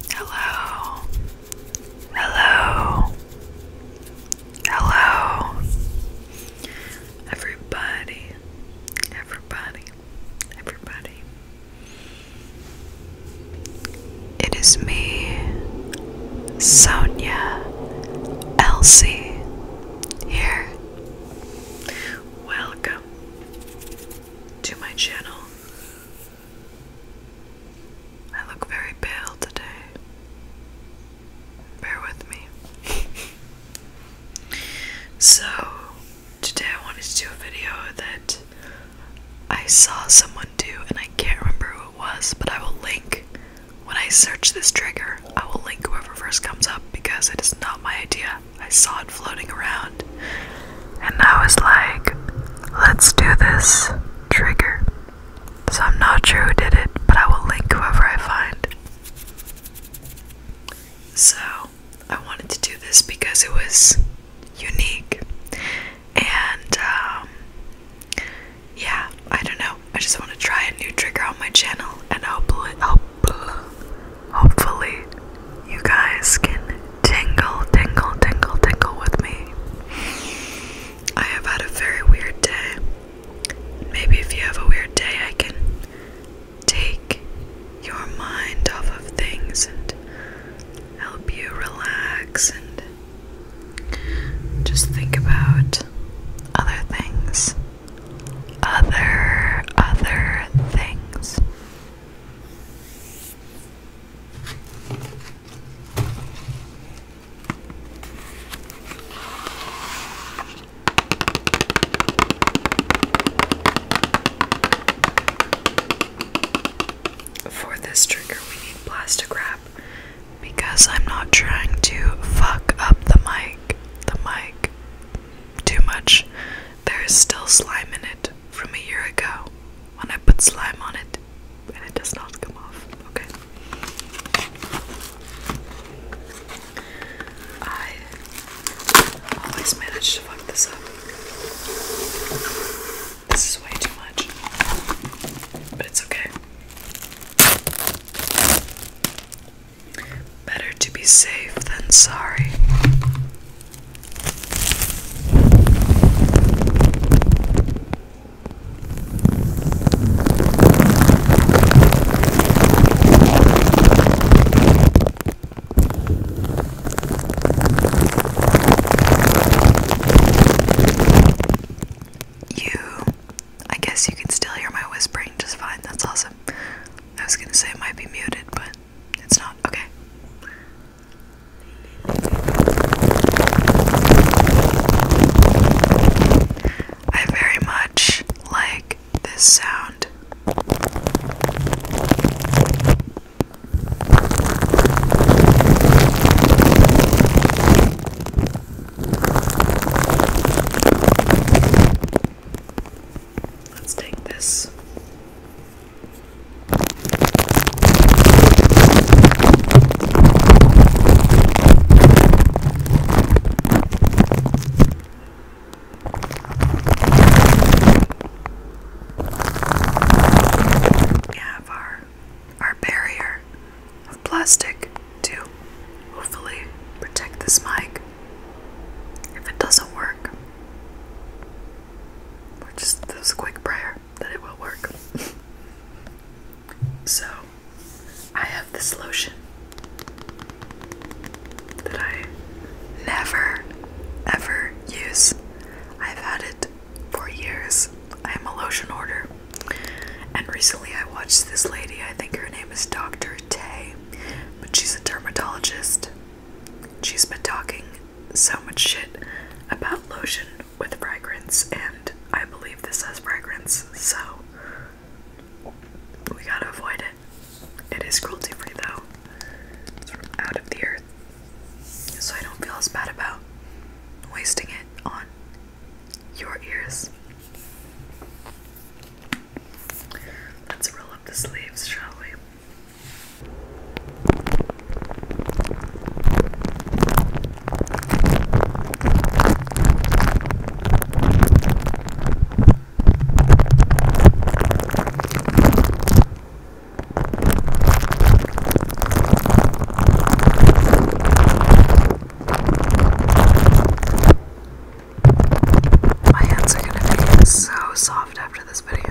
Hello. Hello. Hello. Everybody. Everybody. Everybody. It is me, Sonia Elsie, here. Welcome to my channel. I look very pale today. Bear with me. so, today I wanted to do a video that I saw someone do, and I can't remember who it was, but I will link when I search this trigger. I will link whoever first comes up because it is not my idea. I saw it floating around. And I was like, let's do this trigger. So I'm not sure who did it, but I will link whoever I find. So I wanted to do this because it was unique. And um, yeah, I don't know. I just want to try a new trigger on my channel and hopefully, hopefully you guys can tingle, tingle, tingle, tingle with me. I have had a very weird day. Maybe if you have a weird day, I can take your mind off of things and help you relax and just think about other things. Other, other things. For this trigger, we need plastic wrap because I'm not trying to fuck up the mic, the mic too much. There is still slime in it from a year ago when I put slime on it and it does not come off. Okay. I always manage to fuck this up. This is way too much. But it's okay. Better to be safe than sorry. You, I guess you can still hear my whispering just fine. That's awesome. I was gonna say it might be muted, but it's not? Okay. I very much like this sound. Let's take this we have our our barrier of plastic to hopefully protect this mic. If it doesn't work, we're just this quick prayer that it will work. so, I have this lotion that I never ever use. I've had it for years. I am a lotion order. And recently I watched this lady, I think her name is Dr. Tay, but she's a dermatologist She's been talking so much shit about lotion with fragrance, and I believe this has fragrance, so we gotta avoid it. It is cruelty free though, out of the earth, so I don't feel as bad about wasting it on your ears. Let's roll up the sleeves, shall we? My hands are gonna be so soft after this video.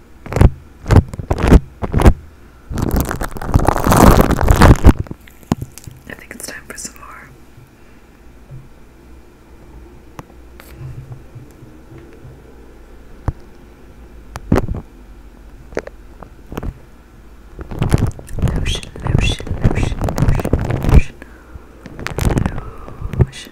I think it's time for some more. Lotion, lotion, lotion, lotion, lotion, lotion,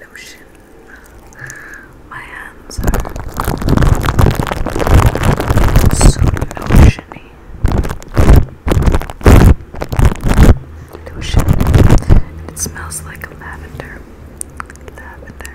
Lotion. My hands are so lotiony. Lotion. It smells like lavender. Lavender.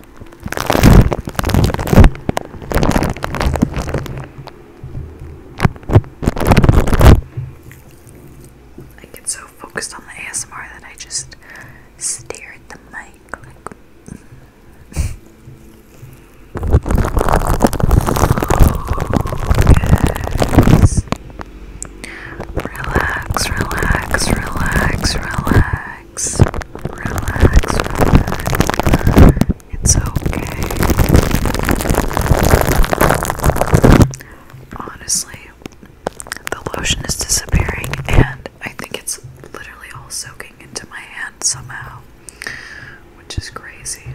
I get so focused on the ASMR that I just stare at the mic like. Yes. Relax, relax, relax, relax relax, relax, It's okay. Honestly, the lotion is disappearing, and I think it's literally all soaking into my hand somehow, which is crazy.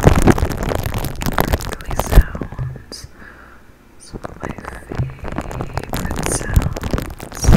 Crinkly sounds. my favorite sounds. Oh.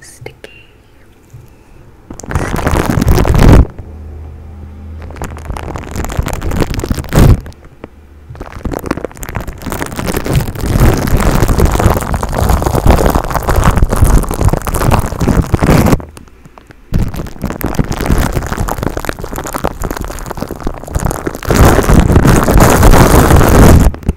Sticky.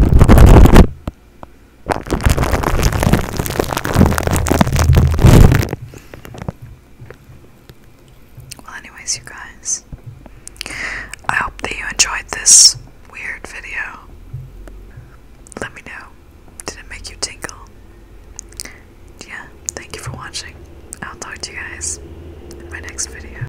Well, anyways, you guys, I hope that you enjoyed this weird video. Let me know. Did it make you tingle? Yeah, thank you for watching. I'll talk to you guys in my next video.